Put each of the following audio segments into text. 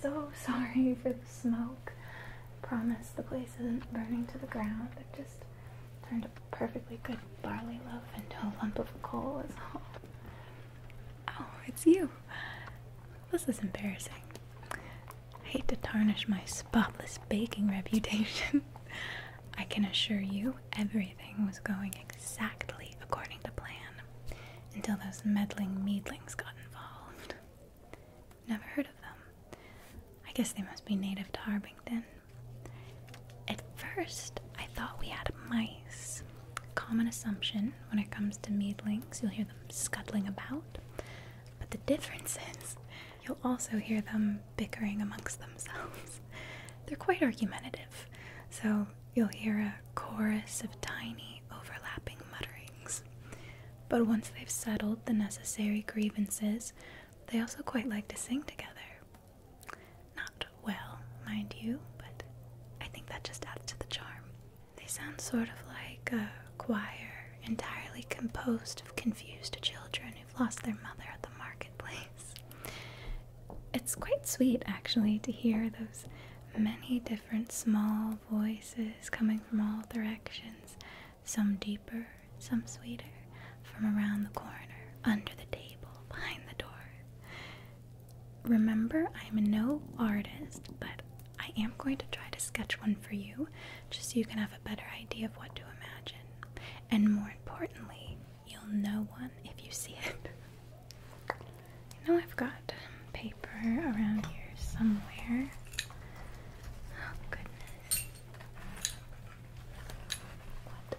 So sorry for the smoke. Promise the place isn't burning to the ground. It just turned a perfectly good barley loaf into a lump of coal is all. Oh, it's you. This is embarrassing. I hate to tarnish my spotless baking reputation. I can assure you everything was going exactly according to plan until those meddling meedlings got involved. Never heard of them. I guess they must be native to Harbington. At first, I thought we had mice, common assumption when it comes to meadlings. You'll hear them scuttling about, but the difference is you'll also hear them bickering amongst themselves. They're quite argumentative, so you'll hear a chorus of tiny, overlapping mutterings. But once they've settled the necessary grievances, they also quite like to sing together. Not well, mind you, but I think that just adds to the charm. They sound sort of like a choir entirely composed of confused children who've lost their mother at the marketplace. It's quite sweet, actually, to hear those many different small voices coming from all directions, some deeper, some sweeter, from around the corner, under the table, behind the door. Remember, I'm no artist, but I am going to try to sketch one for you just so you can have a better idea of what to imagine. And more importantly, you'll know one if you see it. Now I've got paper around here somewhere. Oh, goodness. What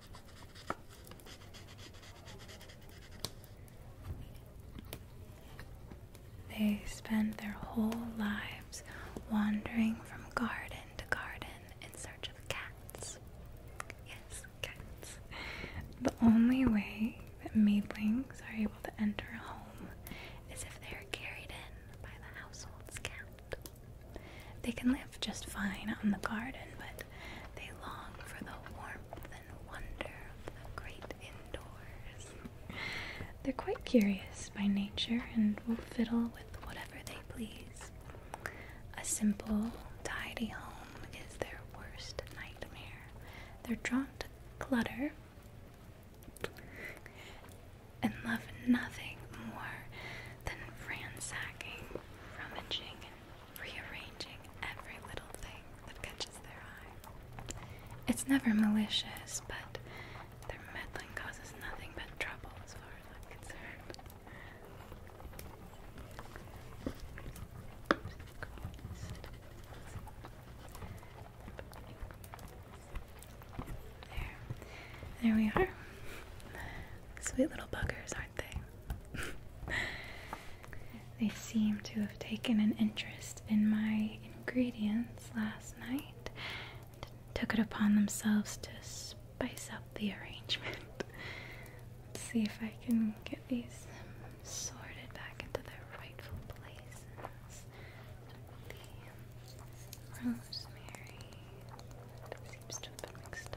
They spend their whole lives wandering from garden to garden in search of cats. Yes, cats. The only way that maidlings are able to enter a home is if they are carried in by the household's cat. They can live just fine on the garden, but they long for the warmth and wonder of the great indoors. They're quite curious by nature and will fiddle with whatever they please. A simple, tidy home is their worst nightmare. They're drawn to clutter and love nothing more than ransacking, rummaging, and rearranging every little thing that catches their eye. It's never malicious, but their meddling causes nothing but trouble as far as I'm concerned. There. There we are. Sweet little buggers, aren't they? seem to have taken an interest in my ingredients last night took it upon themselves to spice up the arrangement. Let's see if I can get these sorted back into their rightful places. rosemary seems to have been mixed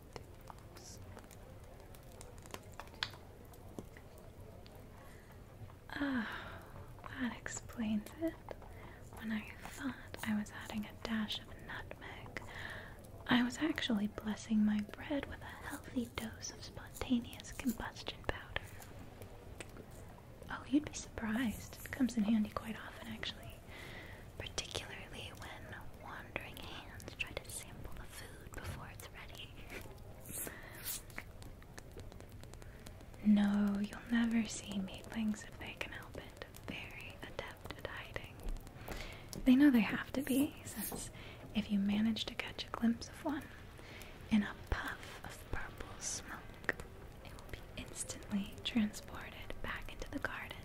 Ah, that explains it. When I thought I was adding a dash of nutmeg, I was actually blessing my bread with a healthy dose of spontaneous combustion powder. Oh, you'd be surprised. It comes in handy quite often, actually, particularly when one no, you'll never see meatlings if they can help it. Very adept at hiding. They know they have to be, since if you manage to catch a glimpse of one in a puff of purple smoke, it will be instantly transported back into the garden.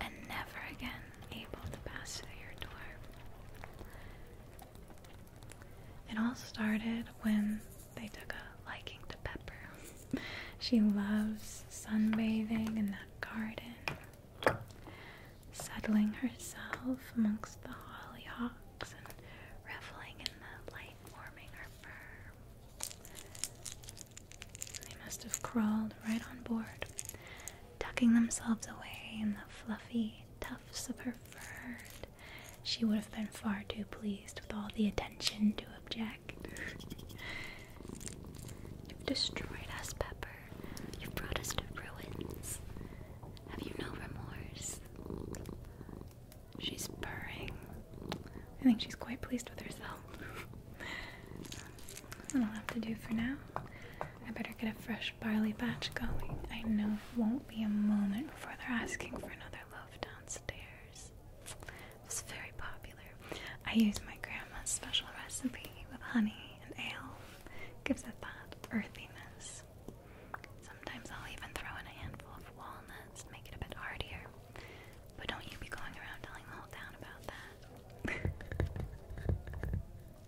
And never again able to pass through your door. It all started when they took a liking to Pepper. she loves sunbathing in that garden, settling herself amongst the hollyhocks and reveling in the light warming her fur. They must have crawled right on board tucking themselves away in the fluffy tufts of her fur. She would have been far too pleased with all the attention to object. You've destroyed us, Pepper. You've brought us to ruins. Have you no remorse? She's purring. I think she's quite pleased with herself. That'll have to do for now. I better get a fresh barley batch going. I know won't be a moment before they're asking for another loaf downstairs. It was very popular. I use my grandma's special recipe with honey and ale. Gives it that earthiness. Sometimes I'll even throw in a handful of walnuts, to make it a bit heartier. But don't you be going around telling the whole town about that.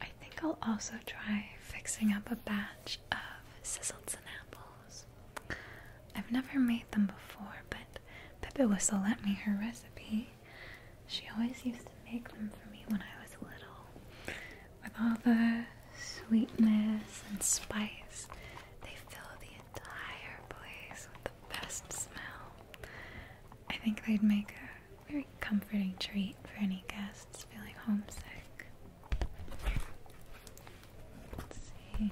I think I'll also try fixing up a batch of sizzled apples. I've never made them before, but Pippa Whistle lent me her recipe. She always used to make them for me when I was little. With all the sweetness and spice, they fill the entire place with the best smell. I think they'd make a very comforting treat for any guests feeling homesick. Let's see.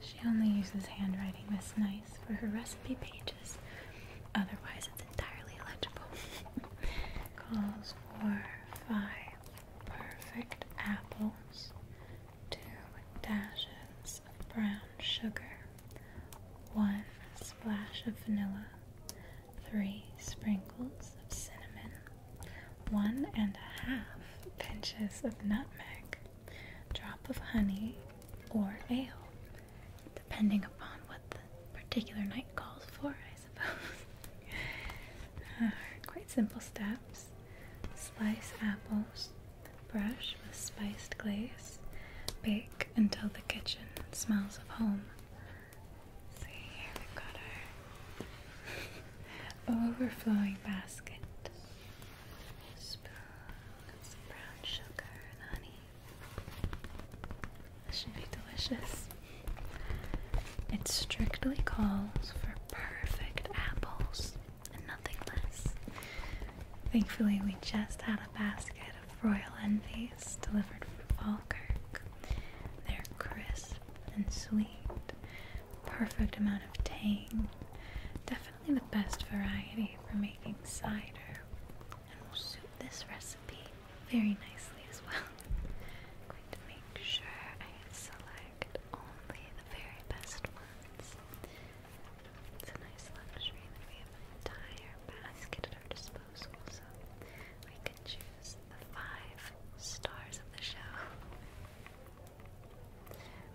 She only uses handwriting this nice for her recipe pages, otherwise, it's entirely illegible. Calls for five perfect apples, two dashes of brown sugar, one splash of vanilla, three sprinkles of cinnamon, one and a half pinches of nutmeg, drop of honey or ale, depending upon what the particular night calls for, I suppose. Quite simple steps. Slice apples, brush with spiced glaze, bake until the kitchen smells of home. See, here we've got our overflowing basket. Spoon, got some brown sugar and honey. This should be delicious. It strictly calls for perfect apples and nothing less. Thankfully, we just had a basket of royal envies delivered from Falkirk. They're crisp and sweet, perfect amount of tang, definitely the best variety for making cider, and will suit this recipe very nicely as well. going to make sure I select only the very best ones. It's a nice luxury that we have an entire basket at our disposal, so we can choose the five stars of the show.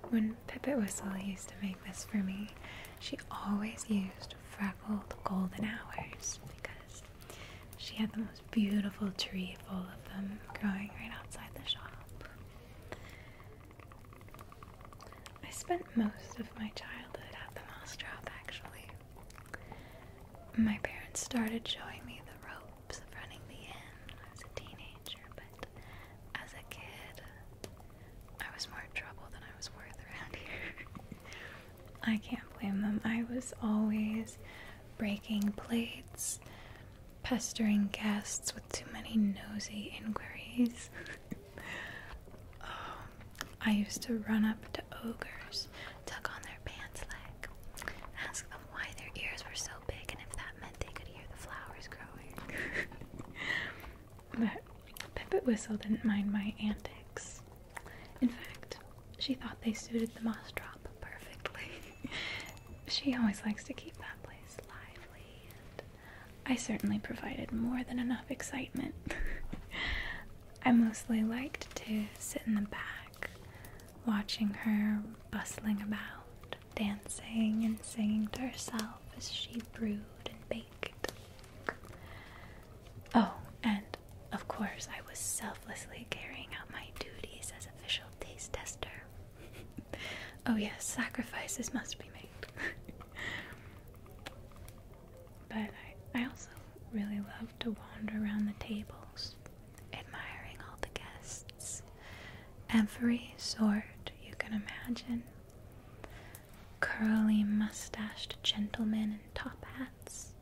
When Pipit Whistle used to make this for me, she always used freckled golden hours because she had the most beautiful tree full of them growing right outside the shop. I spent most of my childhood at the moss drop actually. My parents started showing me the ropes of running the inn when I was a teenager, but as a kid, I was more trouble than I was worth around here. I can't blame them. I was always breaking plates, pestering guests with too many nosy inquiries. Um, I used to run up to ogres, tuck on their pants leg, ask them why their ears were so big and if that meant they could hear the flowers growing. but Pipit Whistle didn't mind my antics. In fact, she thought they suited the moss drop perfectly. she always likes to keep that place I certainly provided more than enough excitement. I mostly liked to sit in the back, watching her bustling about, dancing and singing to herself as she brewed and baked. Oh, and of course, I was selflessly carrying out my duties as official taste tester. oh yes, sacrifices must be made. but I, I also really love to wander around the tables, admiring all the guests. Every sort you can imagine. Curly mustached gentlemen in top hats,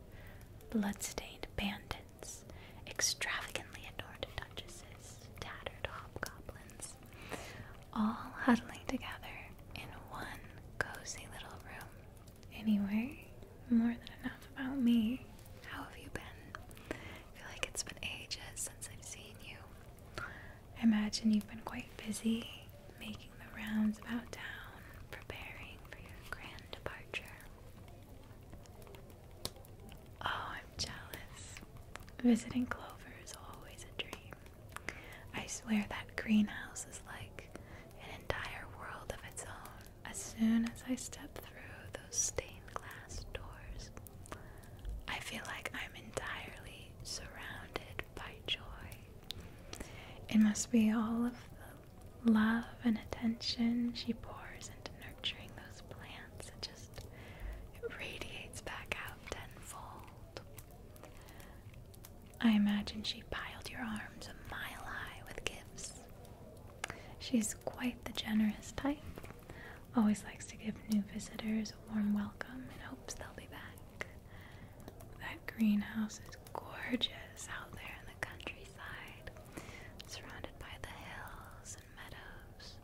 bloodstained bandits extravagantly adorned duchesses, tattered hobgoblins, all huddling together in one cozy little room. Anyway, more than enough about me. How have you been? I feel like it's been ages since I've seen you. I imagine you've been quite busy making the rounds about town, preparing for your grand departure. Oh, I'm jealous. Visiting Clover is always a dream. I swear that greenhouse is like an entire world of its own. As soon as I step through those stained glass doors, I feel like I'm entirely surrounded by joy. It must be all of the love and attention she pours into nurturing those plants that just it radiates back out tenfold. I imagine she piled your arms a mile high with gifts. She's quite the generous type, always likes to give new visitors a warm welcome and hopes they'll be back. That greenhouse is gorgeous out there in the countryside, surrounded by the hills meadows,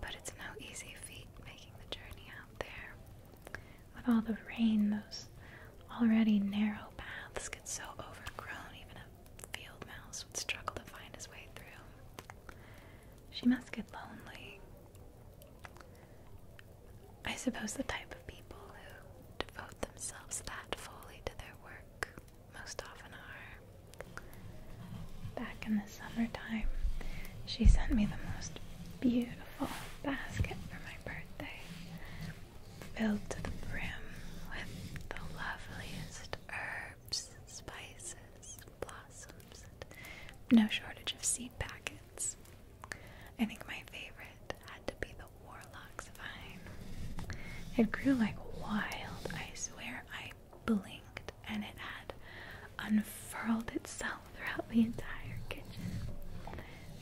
but it's no easy feat making the journey out there. With all the rain, those already narrow paths get so overgrown, even a field mouse would struggle to find his way through. She must get lonely. I suppose the type of people who devote themselves that fully to their work most often are. Back in the summertime, she sent me the most beautiful basket for my birthday, filled to the brim with the loveliest herbs, spices, blossoms, no shortage of seed packets. I think my favorite had to be the warlock's vine. It grew like wild, I swear I blinked and it had unfurled itself throughout the entire kitchen,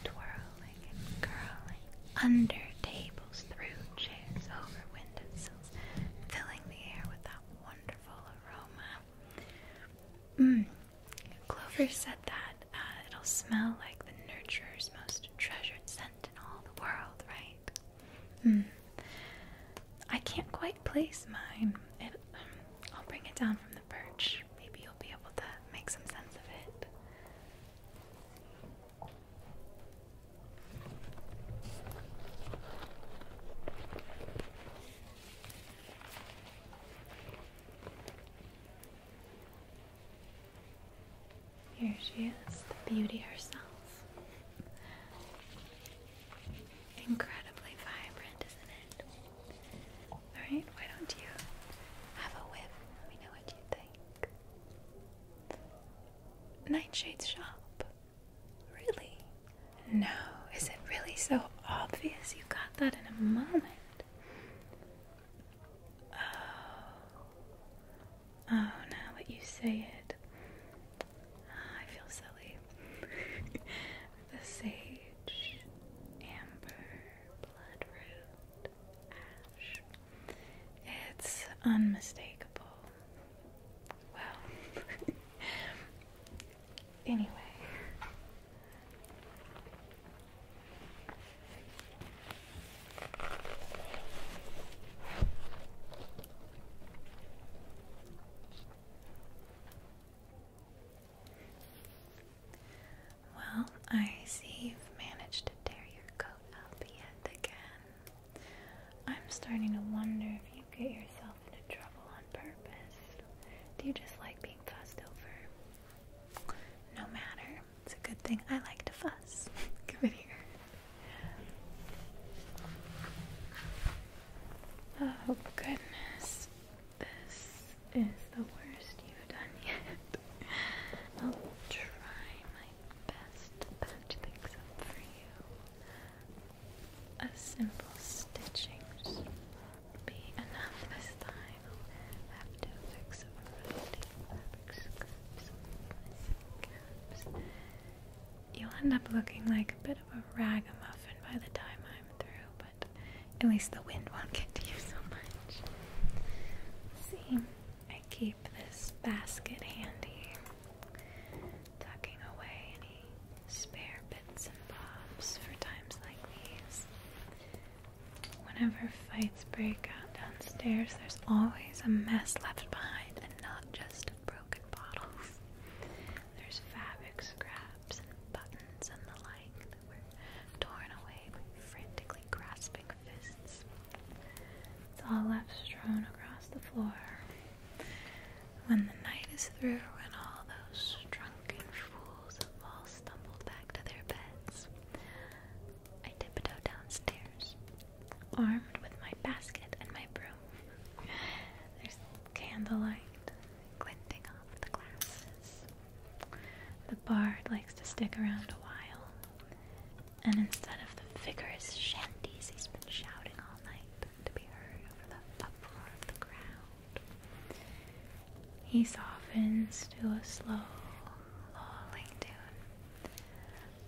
twirling and curling under tables, through chairs, over windowsills, filling the air with that wonderful aroma. Mm. Clover said that uh, it'll smell like the nurturer's most treasured scent in all the world, right? Hmm. I can't quite place mine. I'll bring it down from the perch. Maybe you'll be able to make some sense of it. Here she is, the beauty herself. Incredibly vibrant, isn't it? Alright, why don't you have a whiff? Let me know what you think. Nightshade's shop. Really? No, is it really so obvious? You got that in a moment. Oh. Oh, now that you say it, Ah, I feel silly. the sage, amber, bloodroot, ash. It's unmistakable. Well, anyway. Well, I see you've managed to tear your coat up yet again. I'm starting to wonder if you get yourself into trouble on purpose. Do you just like being fussed over? No matter. It's a good thing I like to fuss. Come in here. Oh goodness, this is the worst you've done yet. I'll try my best to patch up for you. A simple stitching will be enough this time. I'll have to fix a rotating fabric scraps, caps, you'll end up looking like a bit of a ragamuffin by the time I'm through, but at least the wind won't get to you so much. See, I keep this basket handy, tucking away any spare bits and bobs for times like these. Whenever fights break out downstairs, there's always a mess left behind, and not just a broken broken bottles. There's fabric scraps and buttons and the like that were torn away by frantically grasping fists. It's all left strewn across the floor. When the night is through and all those drunken fools have all stumbled back to their beds, I tiptoe downstairs, armed with my basket and my broom candlelight glinting off the glasses. The bard likes to stick around a while, and instead of the vigorous shanties he's been shouting all night to be heard over the uproar of the crowd, he softens to a slow, lolling tune,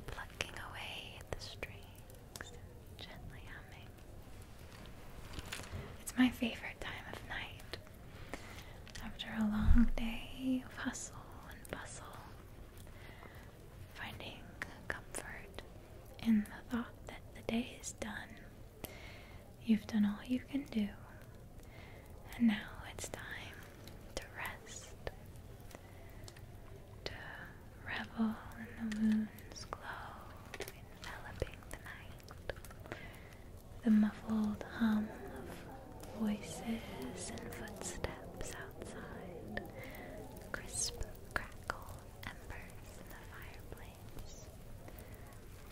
plucking away at the strings gently humming. It's my favorite time of night. After a long day of hustle and bustle, finding comfort in the thought that the day is done, you've done all you can do, and now it's time to rest, revel in the moon's glow, enveloping the night. The muffled hum of voices and footsteps outside, crisp crackle embers in the fireplace.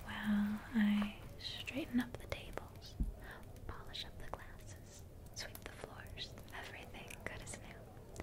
While I straighten up the tables, polish up the glasses, sweep the floors, everything good as new.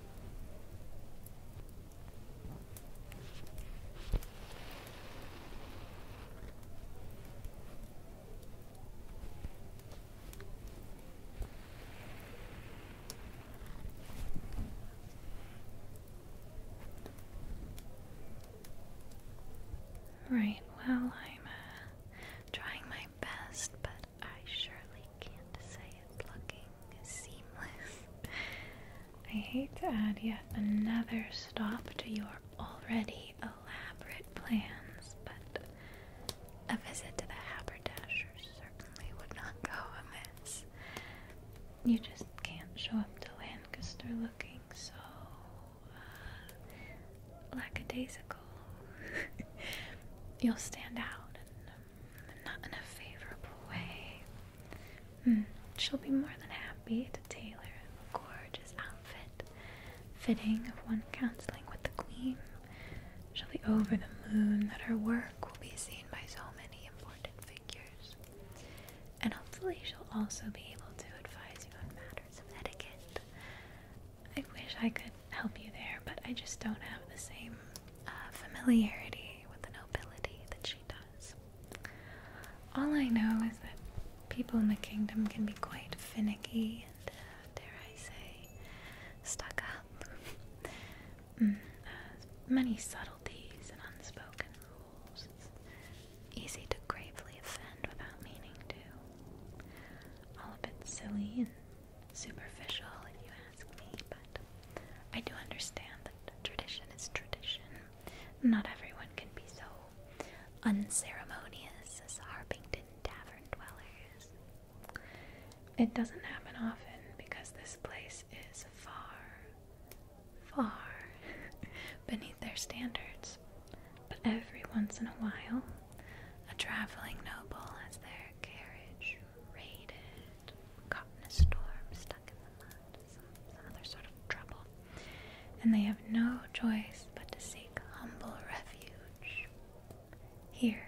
Right, well, I'm uh, trying my best, but I surely can't say it's looking seamless. I hate to add yet another stop to your already elaborate plans, but a visit to the haberdasher certainly would not go amiss. You just can't show up to Lancaster looking so uh, lackadaisical. You'll stand out, um, not in a favorable way. Hmm, she'll be more than happy to tailor a gorgeous outfit, fitting of one counseling with the queen. She'll be over the moon that her work will be seen by so many important figures. And hopefully, she'll also be able to advise you on matters of etiquette. I wish I could help you there, but I just don't have the same uh, familiarity with the nobility that she does. All I know is that people in the kingdom can be quite finicky and, uh, dare I say, stuck up. mm, uh, many subtleties and unspoken rules. It's easy to gravely offend without meaning to. All a bit silly and superficial if you ask me, but I do understand that tradition is tradition. Not everyone can be so unceremonious as Harpington tavern dwellers. It doesn't happen often because this place is far, far beneath their standards. But every once in a while, a traveling noble has their carriage raided, caught in a storm, stuck in the mud, some, other sort of trouble, and they have no choice but to seek humble refuge here.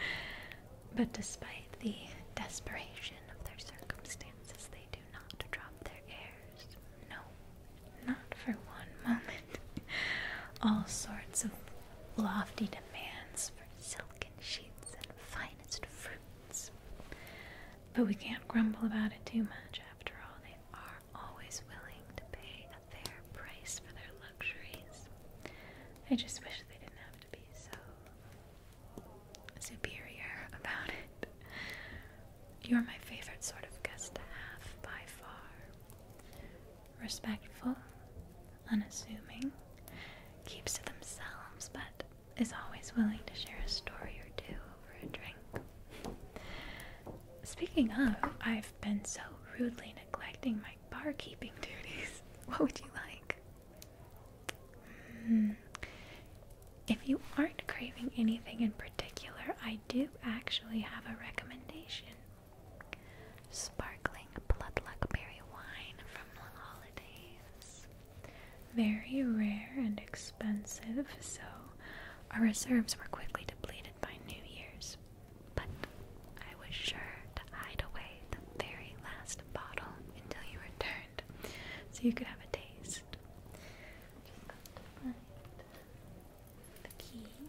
but despite the desperation of their circumstances, they do not drop their airs. No, not for one moment. All sorts of lofty demands for silken sheets and finest fruits. But we can't grumble about it too much. After all, they are always willing to pay a fair price for their luxuries. I just wish they didn't have to be so superior about it. You're my favorite sort of guest to have by far. Respectful, unassuming, keeps to themselves, but is always willing to share a story or two over a drink. Speaking of, I've been so rudely neglecting my barkeeping duties. What would you like? Hmm. If you aren't craving anything in particular, I do actually have a recommendation. Sparkling Bloodluckberry wine from the holidays. Very rare and expensive, so our reserves were quickly depleted by New Year's. But I was sure to hide away the very last bottle until you returned, so you could have a taste. Just got to find the key.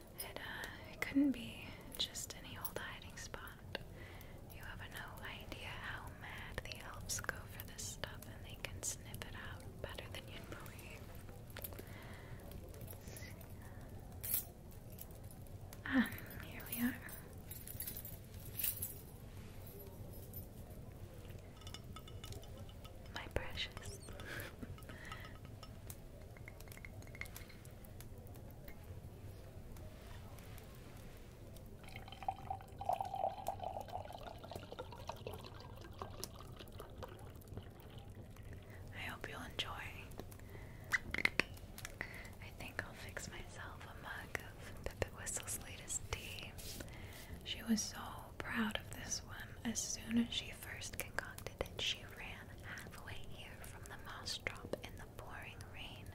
Uh, it, couldn't be just any old hiding spot. You have no idea how mad the elves go for this stuff, and they can sniff it out better than you believe. Ah, here we are. My precious. I hope you'll enjoy. I think I'll fix myself a mug of Pippa latest tea. She was so proud of this one. As soon as she first concocted it, she ran halfway here from the moss drop in the pouring rain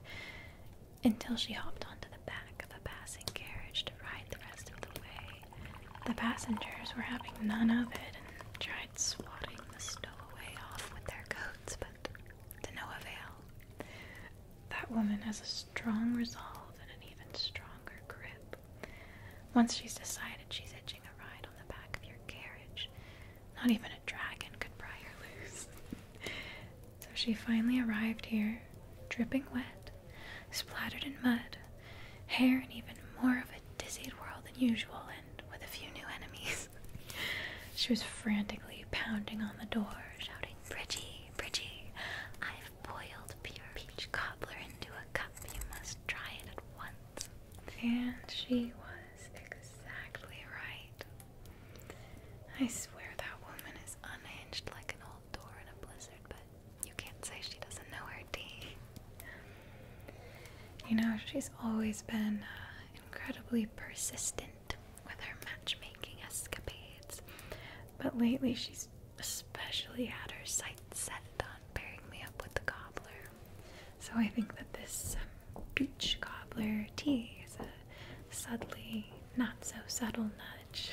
until she hopped onto the back of a passing carriage to ride the rest of the way. The passengers were having none of it and tried swatting the stowaway off with their coats, but to no avail. That woman has a strong resolve and an even stronger grip. Once she's decided she's edging a ride on the back of your carriage, not even a dragon could pry her loose. so she finally arrived here, dripping wet, splattered in mud, hair in even more of a dizzied whirl than usual, and with a few new enemies. she was frantically pounding on the door, shouting, Bridgie, Bridgie, I've boiled pure peach cobbler into a cup. You must try it at once. And she was exactly right. I swear that woman is unhinged like an old door in a blizzard, but you can't say she doesn't know her D. You know, she's always been uh, incredibly persistent with her matchmaking escapades, but lately she's especially had her sights set on pairing me up with the cobbler. So I think that this um, beach cobbler tea is a subtly not so subtle nudge.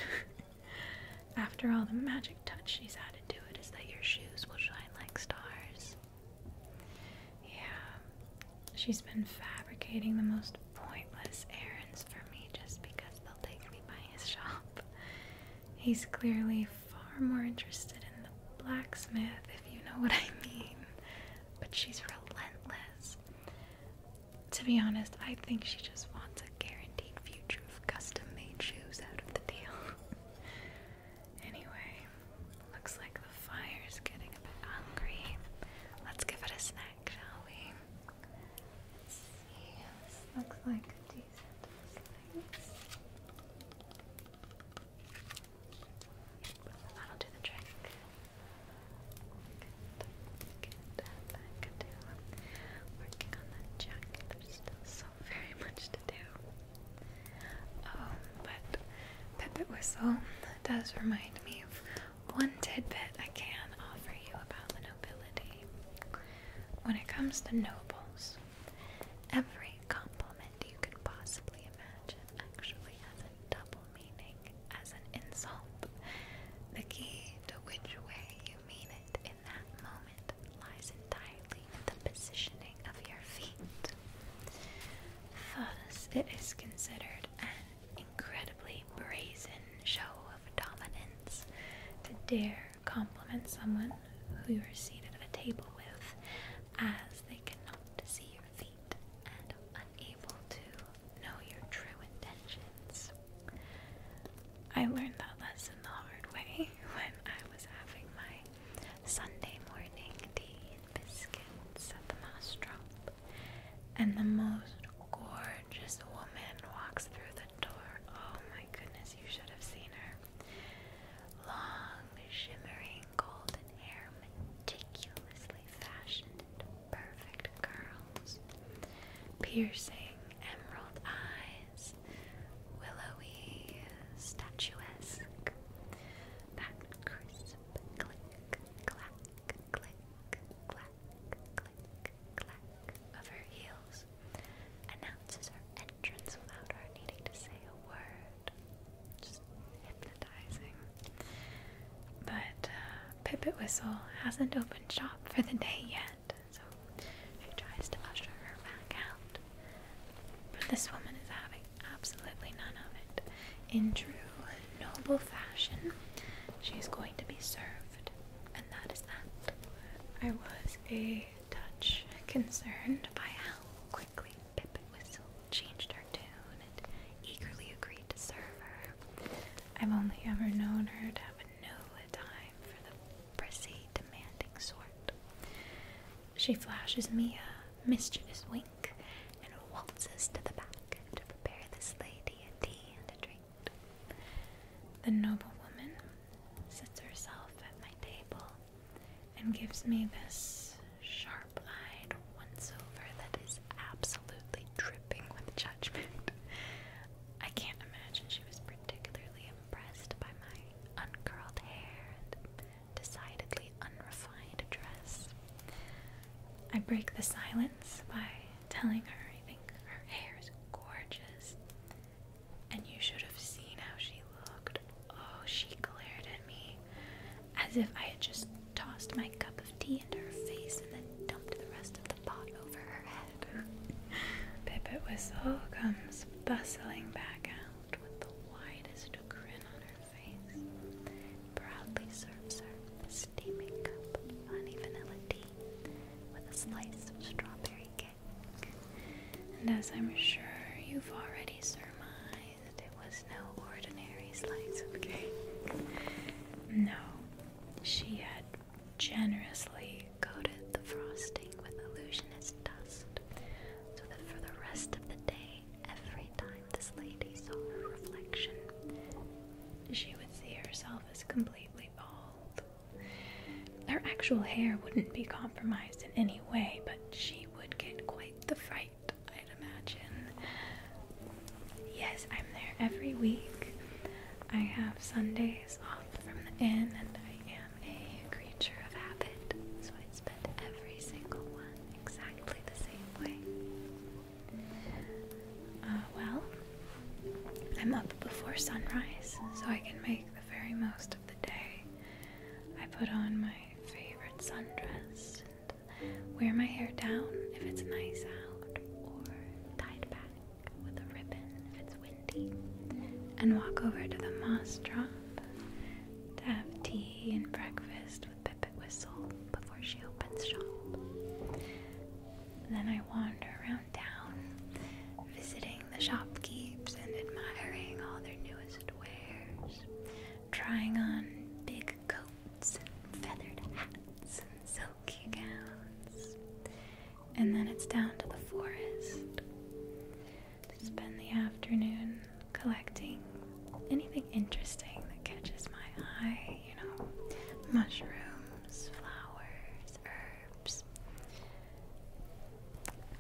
After all, the magic touch she's added to it is that your shoes will shine like stars. Yeah, she's been fabricating the most pointless errands for me just because they'll take me by his shop. He's clearly far more interested in the blacksmith, if you know what I mean, but she's relentless. To be honest, I think she just wants a guaranteed future of custom made shoes out of the deal. anyway, looks like the fire's getting a bit hungry. Let's give it a snack, shall we? looks like decent slice. That'll do the trick. Working on that jacket. There's still so very much to do. Um, but Pepit Whistle does remind me of one tidbit I can offer you about the nobility. When it comes to nobles, every compliment you could possibly imagine actually has a double meaning as an insult. The key to which way you mean it in that moment lies entirely in the positioning of your feet. Thus, it is considered an incredibly brazen show of dominance to dare compliment someone who you are seated at a table with as they cannot see your feet and unable to know your true intentions. I learned that lesson the hard way when I was having my Sunday morning tea and biscuits at the Mostrop, and the most gorgeous woman walks through the door. Oh my goodness, you should have seen her. Long, shimmering wearing golden hair meticulously fashioned into perfect curls, piercing emerald eyes, willowy, statuesque, that crisp click, clack, click, clack, click, clack of her heels announces her entrance without her needing to say a word just hypnotizing. But uh, Whistle hasn't opened shop for the day yet, so she tries to usher her back out. But this woman is having absolutely none of it. In true noble fashion, she's going to be served, and that is that. I was a touch concerned by how quickly Pip Whistle changed her tune and eagerly agreed to serve her. I've only ever known her to have no time for the prissy, demanding sort. She flashes me a mischievous wink and waltzes to the back to prepare this lady a tea and a drink. The noble woman sits herself at my table and gives me this sharp eyed once over that is absolutely dripping with judgment. I can't imagine she was particularly impressed by my uncurled hair and decidedly unrefined dress. I break the silence by telling her I think her hair is gorgeous. And you should have seen how she looked. Oh, she glared at me as if I had just tossed my cup of tea into her face and then dumped the rest of the pot over her head. Pipit Whistle comes bustling back out with the widest grin on her face. Proudly serves her a steaming cup of honey vanilla tea with a slice of strawberry cake. And as I'm sure you've already surmised, it was no ordinary slice of cake. No, she had generously coated the frosting with illusionist dust so that for the rest of the day, every time this lady saw her reflection, she would see herself as completely bald. Her actual hair wouldn't be compromised in any way, but she would get quite the fright I'd imagine. Yes, I'm there every week. I have Sundays off from the inn, and I am a creature of habit, so I spend every single one exactly the same way. Uh, well, I'm up before sunrise, so I can make the very most of the day. I put on my favorite sundress wear my hair down if it's nice out, or tied back with a ribbon if it's windy, and walk over to the moss drop to have tea and breakfast with Pipit Whistle before she opens shop. Then I wander around town, visiting the shopkeepers and admiring all their newest wares, trying on big coats feathered hats, and silky gowns. And then it's down to the forest to spend the afternoon collecting anything interesting that catches my eye, you know, mushrooms, flowers, herbs.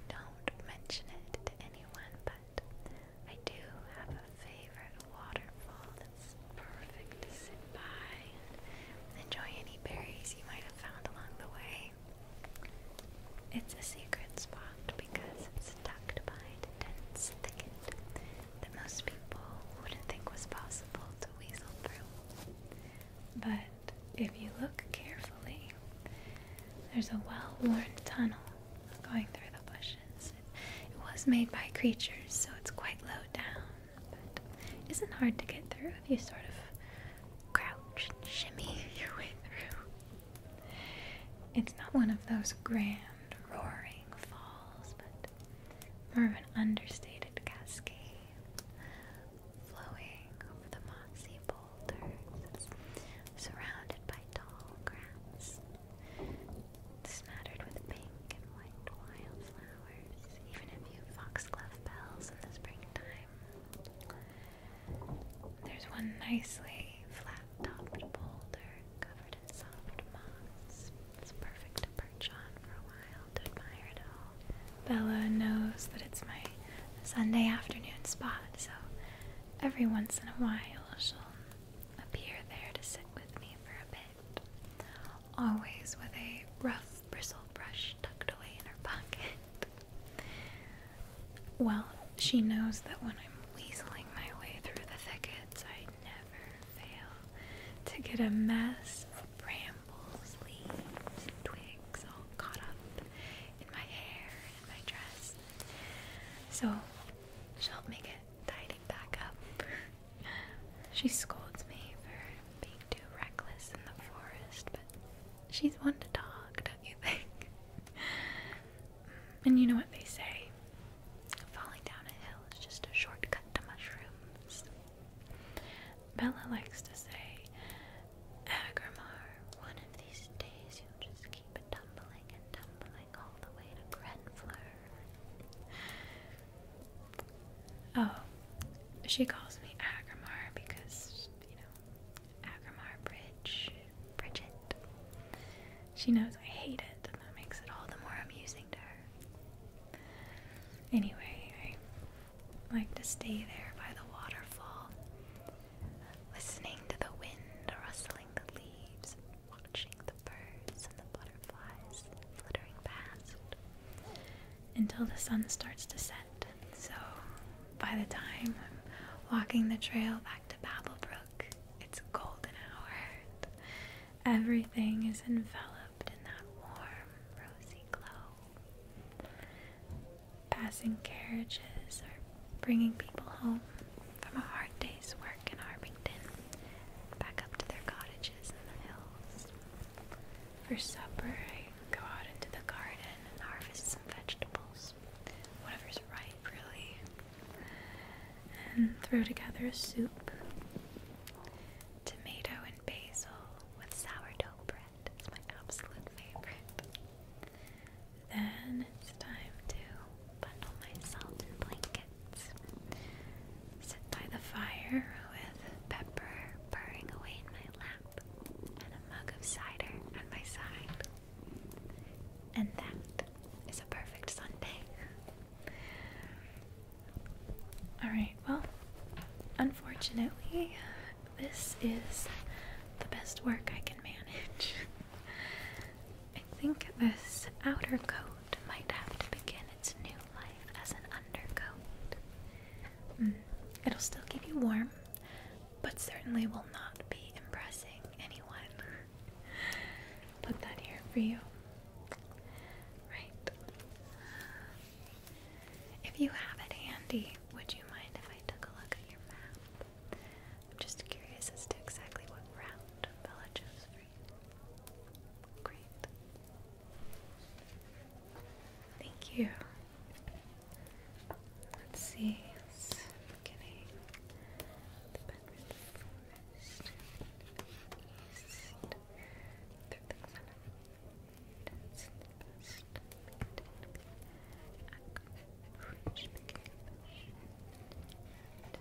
Don't mention it to anyone, but I do have a favorite waterfall that's perfect to sit by and enjoy any berries you might have found along the way. It's a secret spot because it's tucked behind dense thickets that most people wouldn't think was possible to weasel through. But if you look carefully, there's a well worn tunnel going through the bushes. It was made by creatures, so it's quite low down, but isn't hard to get through if you sort of crouch and shimmy your way through. It's not one of those grand, roaring falls, but more of an understated cascade flowing over the mossy boulders, surrounded by tall grass smattered with pink and white wildflowers, even a few foxglove bells in the springtime. There's one nicely flat-topped boulder covered in soft moss. It's perfect to perch on for a while to admire it all. Bella knows that it's my Sunday afternoon spot, so every once in a while she'll appear there to sit with me for a bit always with a rough bristle brush tucked away in her pocket. Well, she knows that when I'm weaseling my way through the thickets, I never fail to get a mess of brambles, leaves, and twigs all caught up in my hair and my dress. So she'll make it tidy back up. she scolds me for being too reckless in the forest, but she's one to talk, don't you think? Mm, and you know what they say falling down a hill is just a shortcut to mushrooms. Bella likes to say, Agrimar, one of these days you'll just keep tumbling and tumbling all the way to Grenfleur. Oh, she calls me Agrimar because, you know, Agrimar Bridge, Bridget. She knows I hate it, and that makes it all the more amusing to her. Anyway, I like to stay there by the waterfall, listening to the wind rustling the leaves watching the birds and the butterflies fluttering past until the sun starts to set. So by the time I'm walking the trail back to Babelbrook, it's a golden hour. Everything is enveloped in that warm, rosy glow. Passing carriages or bringing people home from a hard day's work. Park and back up to their cottages in the hills. For supper, I go out into the garden and harvest some vegetables, whatever's ripe, really, and throw together a soup. Tomato and basil with sourdough bread is my absolute favorite. Then it's time to bundle myself in blankets. Sit by the fire with pepper purring away in my lap and a mug of cider at my side. And that is a perfect Sunday. Alright, well, unfortunately, this is the best work I can manage. I think this outer coat might have to begin its new life as an undercoat. Hmm, it'll still keep you warm, but certainly will not be impressing anyone. Put that here for you. Right. If you have it handy, would you mind if I took a look at your map? I'm just curious as to exactly what route Bella Great. Thank you. Let's see. It's beginning. The bedroom forest. East. Through the center. Begin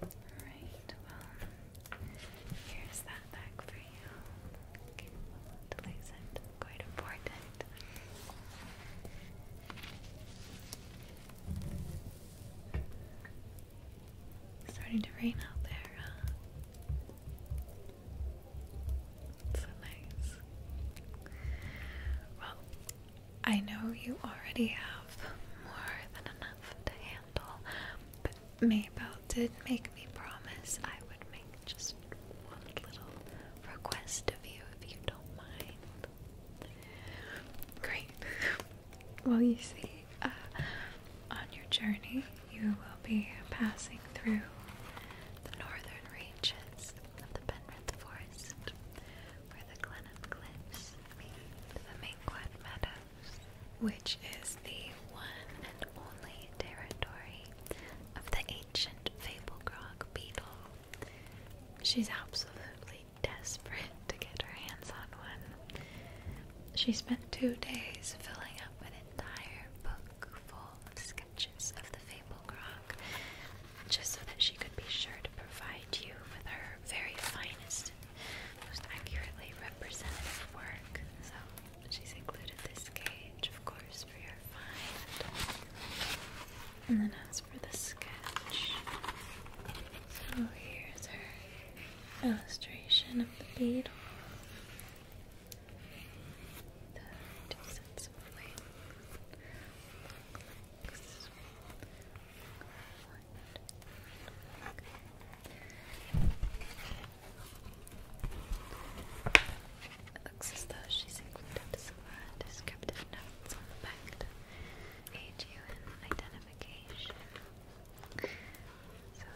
Alright, well, here's that back for you. Okay, to Quite important. It's starting to rain out there, so nice. Well, I know you already have more than enough to handle, but Mabel did make me promise I would make just one little request of you if you don't mind. Great. Well, you see, uh, on your journey, you will be passing through the northern reaches of the Penrith Forest, where the Glenham Cliffs meet the Maquet Meadows, which is the one and only territory of the ancient Fablegrog beetle. She's absolutely desperate to get her hands on one. She spent two days filling up an entire book full of of the Fable Grog, just so that she could be sure to provide you with her very finest and most accurately representative work. So she's included this cage, of course, for your fine. And then as for the sketch, so here's her illustration of the beetle the it looks as though she's included some descriptive notes on the back to aid you in identification. So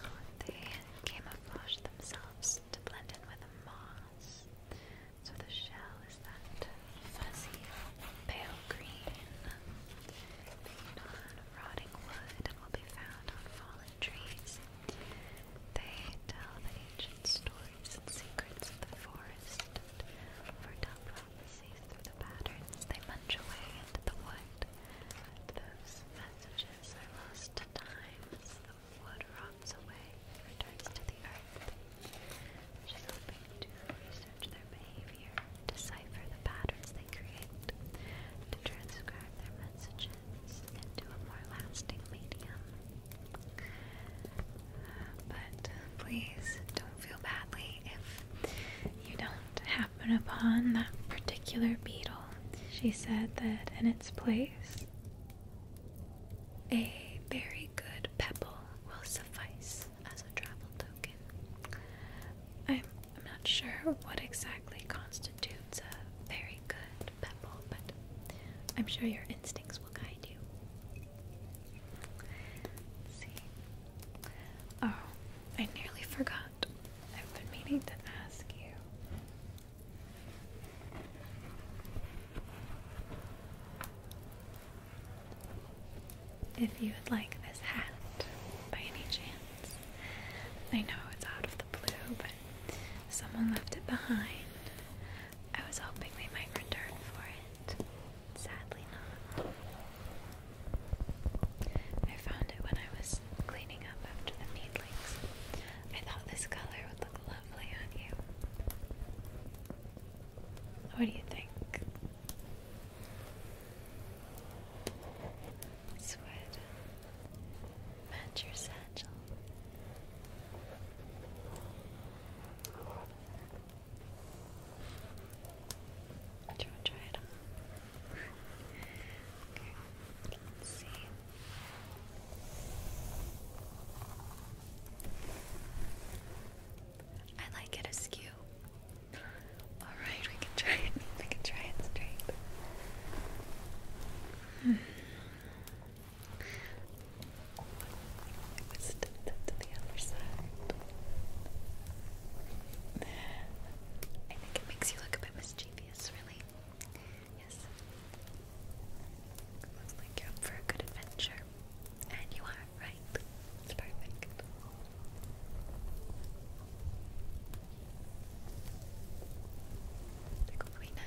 they camouflage themselves to blend in with a moth so the shell is that fuzzy pale green made on rotting wood and will be found on fallen trees. They tell the ancient stories and secrets of the forest and foretell prophecies through the patterns they munch away into the wood. Those messages are lost to time Wood rots away returns to the earth. She's hoping to research their behavior, decipher the patterns they create, to transcribe their messages into a more lasting medium. but uh, please don't feel badly if you don't happen upon that particular beetle. She said that in its place, a very good pebble will suffice as a travel token. I'm, not sure what exactly constitutes a very good pebble, but I'm sure your instincts will guide you. see. Oh, I nearly forgot. I've been meaning to ask you. If you would like this hat by any chance, I know it's out of the blue, but someone left it behind. I was hoping they might return for it. Sadly, not. I found it when I was cleaning up after the needlings. I thought this color would look lovely on you. What do you think? This would match your satchel. Do you want to try it on? let's see. I like it askew. Alright, we can try it. We can try it straight. Hmm. I think it makes you look a bit mischievous, really. Yes. Looks like you're up for a good adventure. And you are, right? It's perfect.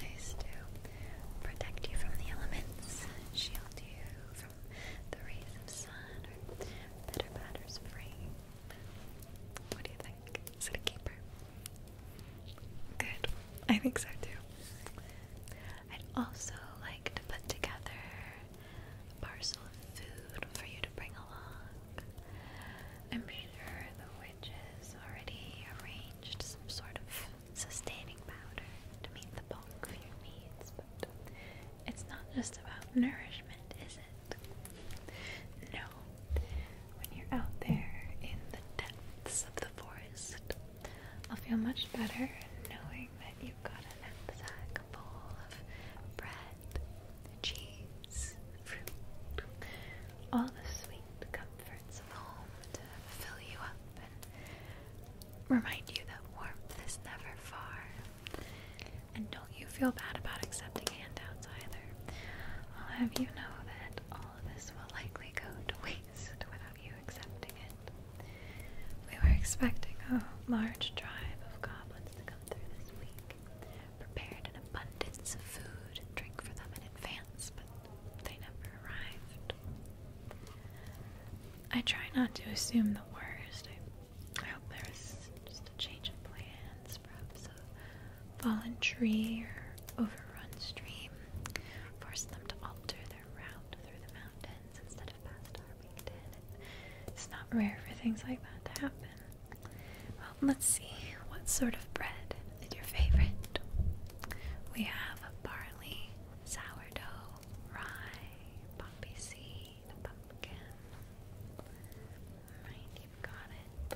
nice to protect you from the elements, shield you from the rays of sun, or bitter batters free. What do you think? Is it a keeper? Good. I think so too. I'd also like to put together a parcel of food for you to bring along. I'm sure the witches already arranged some sort of sustaining powder to meet the bulk of your needs, but it's not just about nourishment, is it? No. When you're out there in the depths of the forest, I'll feel much better knowing that you've got a knapsack full of bread, cheese, fruit, all the sweet comforts of home to fill you up and remind you that warmth is never far. And don't you feel bad about accepting handouts either. I'll have you know that all of this will likely go to waste without you accepting it. We were expecting a large tribe of goblins to come through this week, prepared an abundance of food and drink for them in advance, but they never arrived. I try not to assume the worst. I, hope there is just a change of plans, perhaps a fallen tree or overrun stream, forced them to alter their another through the mountains instead of past Harbington. It's not rare for things like that to happen. Well, let's see what sort of bread is your favorite. We have barley, sourdough, rye, poppy seed, pumpkin. Right, you've got it.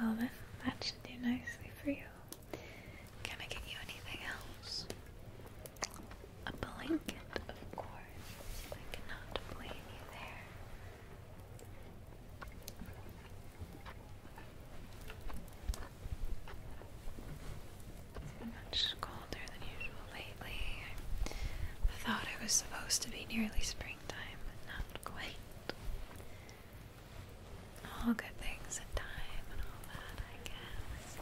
Well, then, that should do nicely for you. Can I get you anything else? A blanket, of course. I cannot blame you there. Much colder than usual lately. I thought it was supposed to be nearly springtime, not quite. All good things in time and all that, I guess.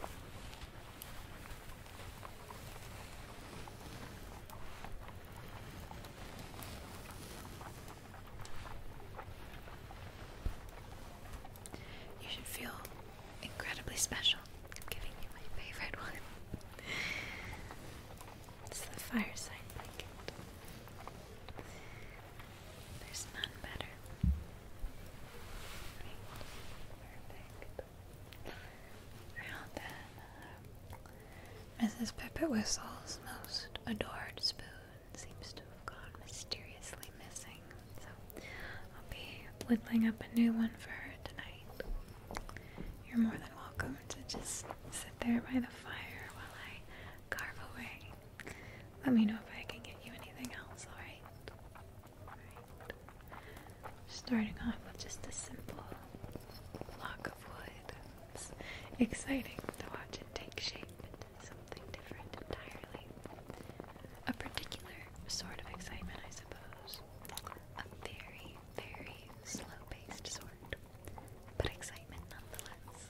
You should feel incredibly special. giving you my favorite it's the fireside blanket. There's none better. Perfect. Uh, Mrs. Pepper Whistle's most adored spoon seems to have gone mysteriously missing, so I'll be whittling up a new one for her tonight. You're more than welcome to just sit there by the fire while I carve away. Let me know if I can get you anything else, alright? Starting off with just a simple block of wood. It's exciting to watch it take shape into something different entirely. A particular sort of excitement, I suppose. A very, very slow paced sort, but excitement nonetheless.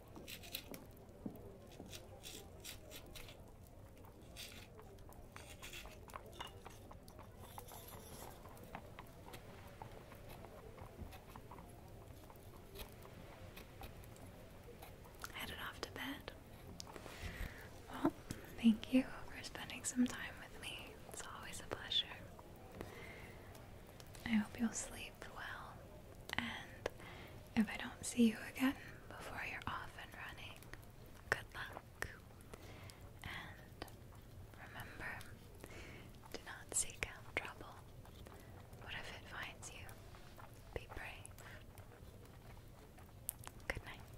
Headed off to bed. Well, thank you for spending some time with me. It's always a pleasure. I hope you'll sleep well, and if I don't see you again before you're off and running, good luck. And remember, do not seek out trouble. What if it finds you? Be brave. Good night.